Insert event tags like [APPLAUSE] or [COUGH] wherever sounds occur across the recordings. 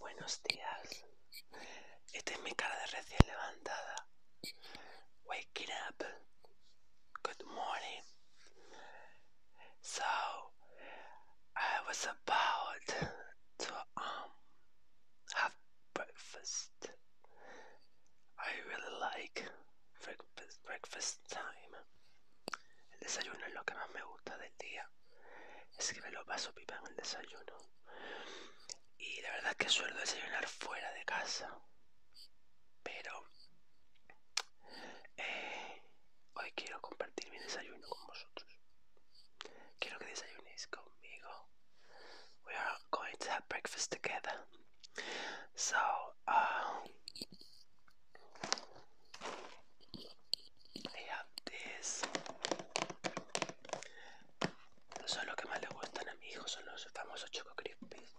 Buenos días. Esta es mi cara de recién levantada. Waking up. Good morning. So, I was about to um have breakfast. I really like breakfast breakfast time. El desayuno es lo que más me gusta del día. Es que me lo paso pipa en el desayuno. Y la verdad que suelo desayunar fuera de casa. Pero eh, hoy quiero compartir mi desayuno con vosotros. Quiero que desayunéis conmigo. We are going to have breakfast together. So, um, y have this. Son lo que más le gustan a mi hijo, son los famosos Choco Crispies.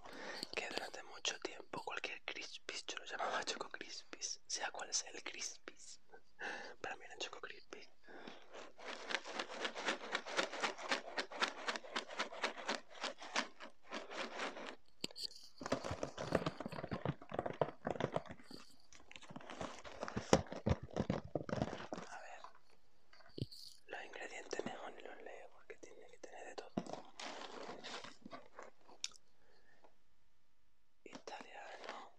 Que durante mucho tiempo cualquier Crispies yo lo llamaba Choco Crispies, sea cual sea el Crispies. Para mí era Choco Crispies. A ver, los ingredientes mejor ni los leo porque tiene que tener de todo. Italiano,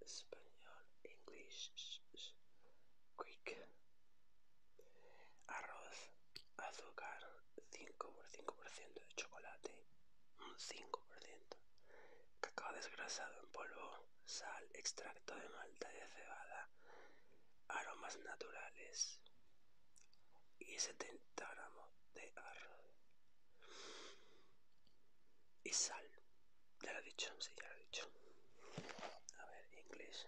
español, inglés, quick arroz, azúcar, 5% de chocolate, un 5%, cacao desgrasado en polvo, sal, extracto de malta y de cebada, aromas naturales y 70 gramos de arroz y sal. Ya lo he dicho, sí, ya lo he dicho. A ver, inglés.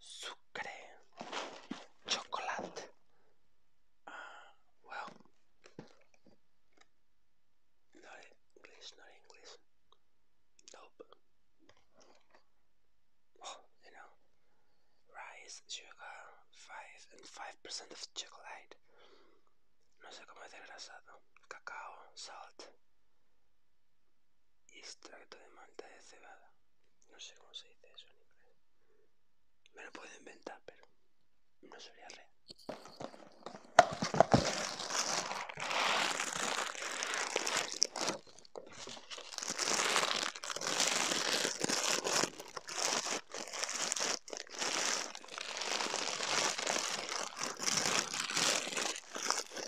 Sugar, chocolate. Ah, well, not English, not oh, you know, rice, sugar, five and five percent of chocolate. No sé cómo es desgrasado. Cacao, salt. Extracto de manta de cebada. No sé cómo se dice eso en inglés. Me lo puedo inventar, pero no sería real.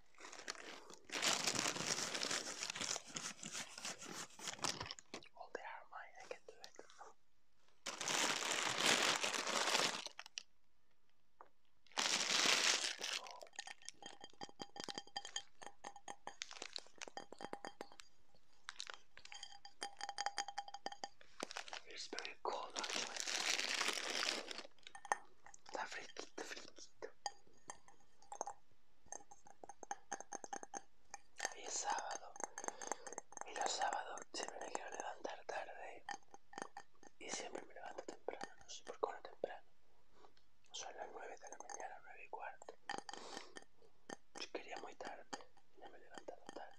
Oh, they are mine. I can do it. It's very cold actually. The freak, the y es sábado y los sábados siempre me quiero levantar tarde y siempre me levanto temprano, no sé por qué no temprano. Son las 9 de la mañana, 9 y cuarto. Yo quería muy tarde y no me he levantado tarde.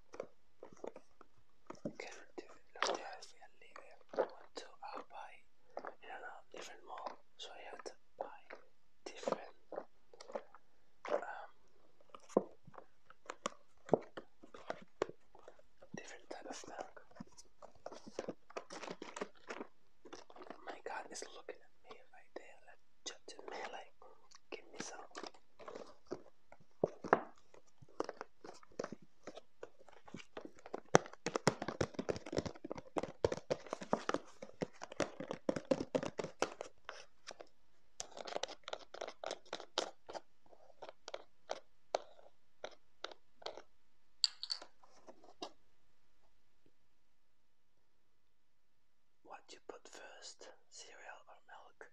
looked at me and leave it. Went to uh, different mall, so I had to buy different different type of milk. My God is looking at me right there, like judging me, like give me some. What do you put first, cereal or milk?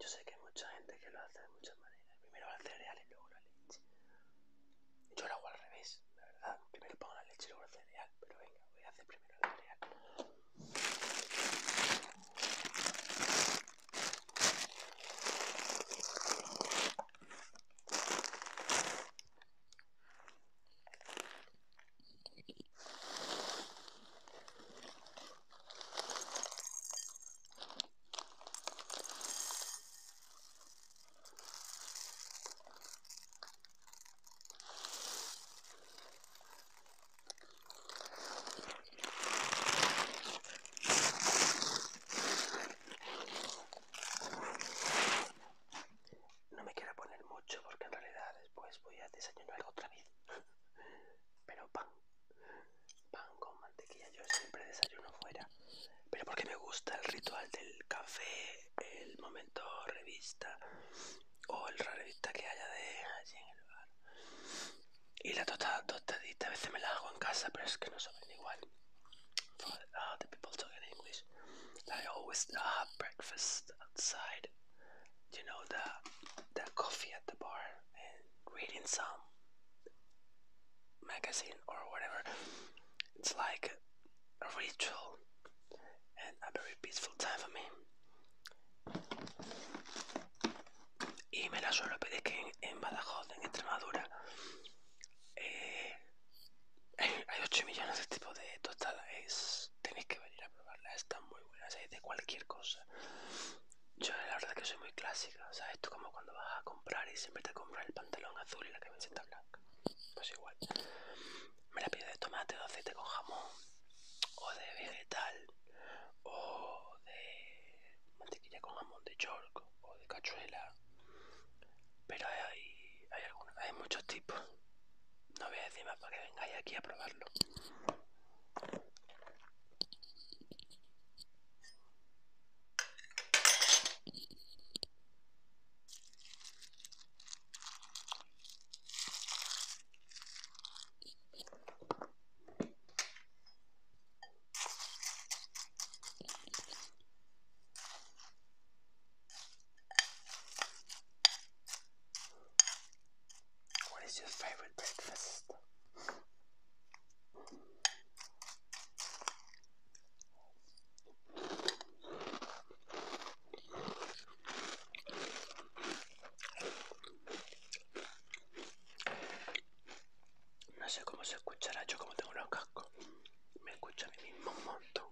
Yo sé que hay mucha gente que lo hace de muchas maneras. Primero el cereal y luego la leche. Yo lo hago al revés, la verdad. Primero pongo la leche y luego el cereal. Pero venga, voy a hacer primero el cereal. No me quiero poner mucho porque en realidad después voy a desayunar otra vez. [LAUGHS] Pero pan, pan con mantequilla. Yo siempre desayuno fuera. Pero porque me gusta el ritual del café, el momento revista o el revista que haya de allí en el bar. Y la tostada, tostadita, a veces me la hago en casa, pero es que no sabe igual. For ah, the people talking English, I always have breakfast outside you know the the coffee at the bar and reading some magazine or whatever. It's like a ritual and a very peaceful time for me. Y me la suelo pedir que en, Badajoz, en Extremadura, eh, [LAUGHS] hay 8 millones de tipos de tostadas. tenéis que venir a probarla, está muy buenas, es de cualquier cosa. Yo la verdad que soy muy clásica, sabes sea, como cuando vas a comprar y siempre te compras el pantalón azul y la camiseta blanca, pues igual. Me la pido de tomate de aceite con jamón, o de vegetal, o de mantequilla con jamón de york, o de cachuela, pero hay, hay, algunos, hay muchos tipos. No voy a decir más para que vengáis aquí a probarlo. What is your favorite breakfast? No sé cómo se escuchará yo como tengo los cascos. Me escucho mismo un montón.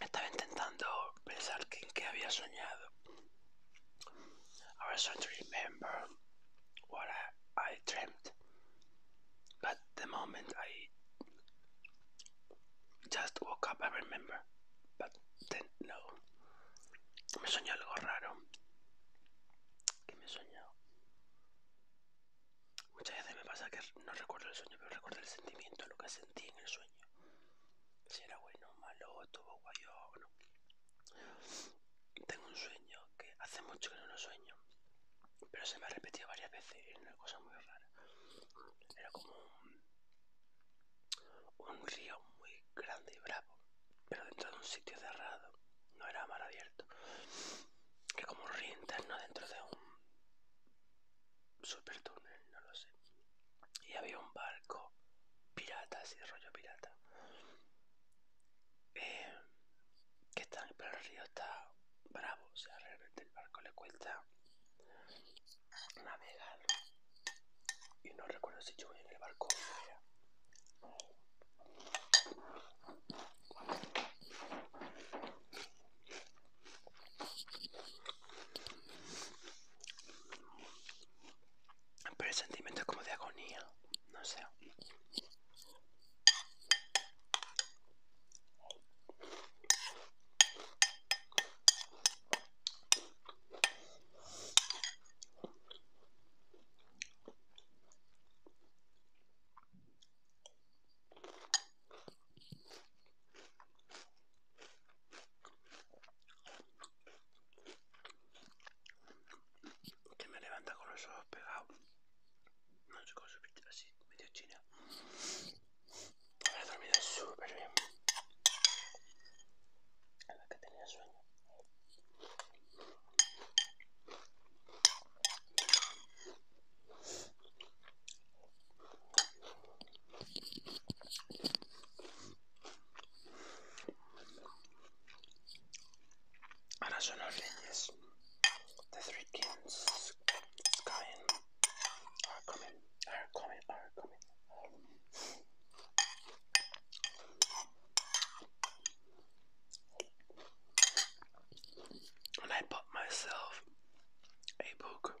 Estaba intentando pensar que, en qué había soñado I was trying to remember what I, dreamt, but the moment I just woke up, I remember, but then no. Me soñó algo raro. ¿Qué me soñó? Muchas veces me pasa que no recuerdo el sueño, pero recuerdo el sentimiento, lo que sentí en el sueño si era bueno o malo, tuvo guayón o no. Tengo un sueño que hace mucho que no lo sueño, pero se me ha repetido varias veces, era una cosa muy rara. Era como un, río muy grande y bravo, pero dentro de un sitio cerrado, no era mal abierto. Que como un río interno dentro de un super túnel, no lo sé. Y había un barco pirata, así rollo pirata. Eh, que está, pero el río está bravo, o sea, realmente el barco le cuesta navegar. Y no recuerdo si yo voy en el barco o pero el sentimiento es como de agonía, no sé que me levanta con los ojos pegados. No sé cómo subir así, medio chino Me he dormido súper bien. A la que tenía sueño. Ahora son The three kings Are ah, coming Are ah, coming Are ah, coming And I bought myself a book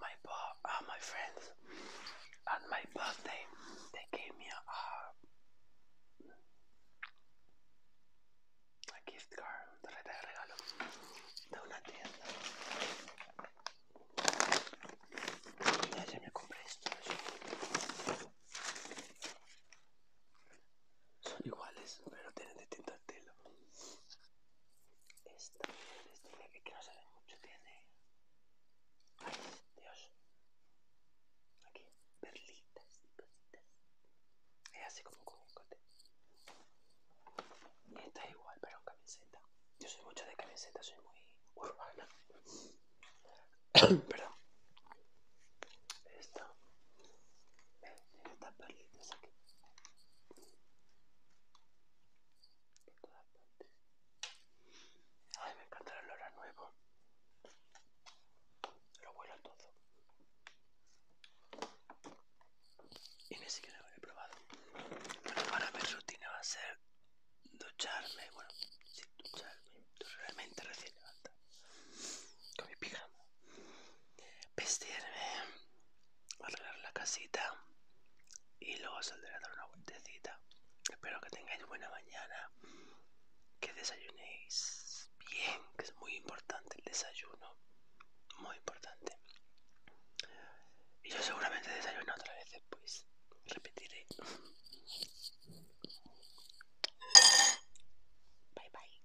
my uh, my friends on my birthday they gave me a, gift card de regalo de una tienda ya se me compré estos son iguales pero tienen distintas esto el Esta que no se ve mucho, tiene... ¡Ay, Dios! Aquí, perlitas y cositas. Es así como con un cote. esta es igual, pero en camiseta. Yo soy mucho de camiseta, soy muy urbana. [COUGHS] Perdón estas perlitas aquí por todas partes ay me encanta el olor a nuevo lo a todo y ni siquiera lo he probado bueno, ahora mi rutina va a ser ducharme bueno ducharme realmente recién levanta con mi pijama vestirme, arreglar la casita y luego saldré a dar una vueltecita. Espero que tengáis buena mañana, que desayunéis bien, que es muy importante el desayuno, muy importante. Y yo seguramente desayuno otra vez pues, repetiré. Bye bye.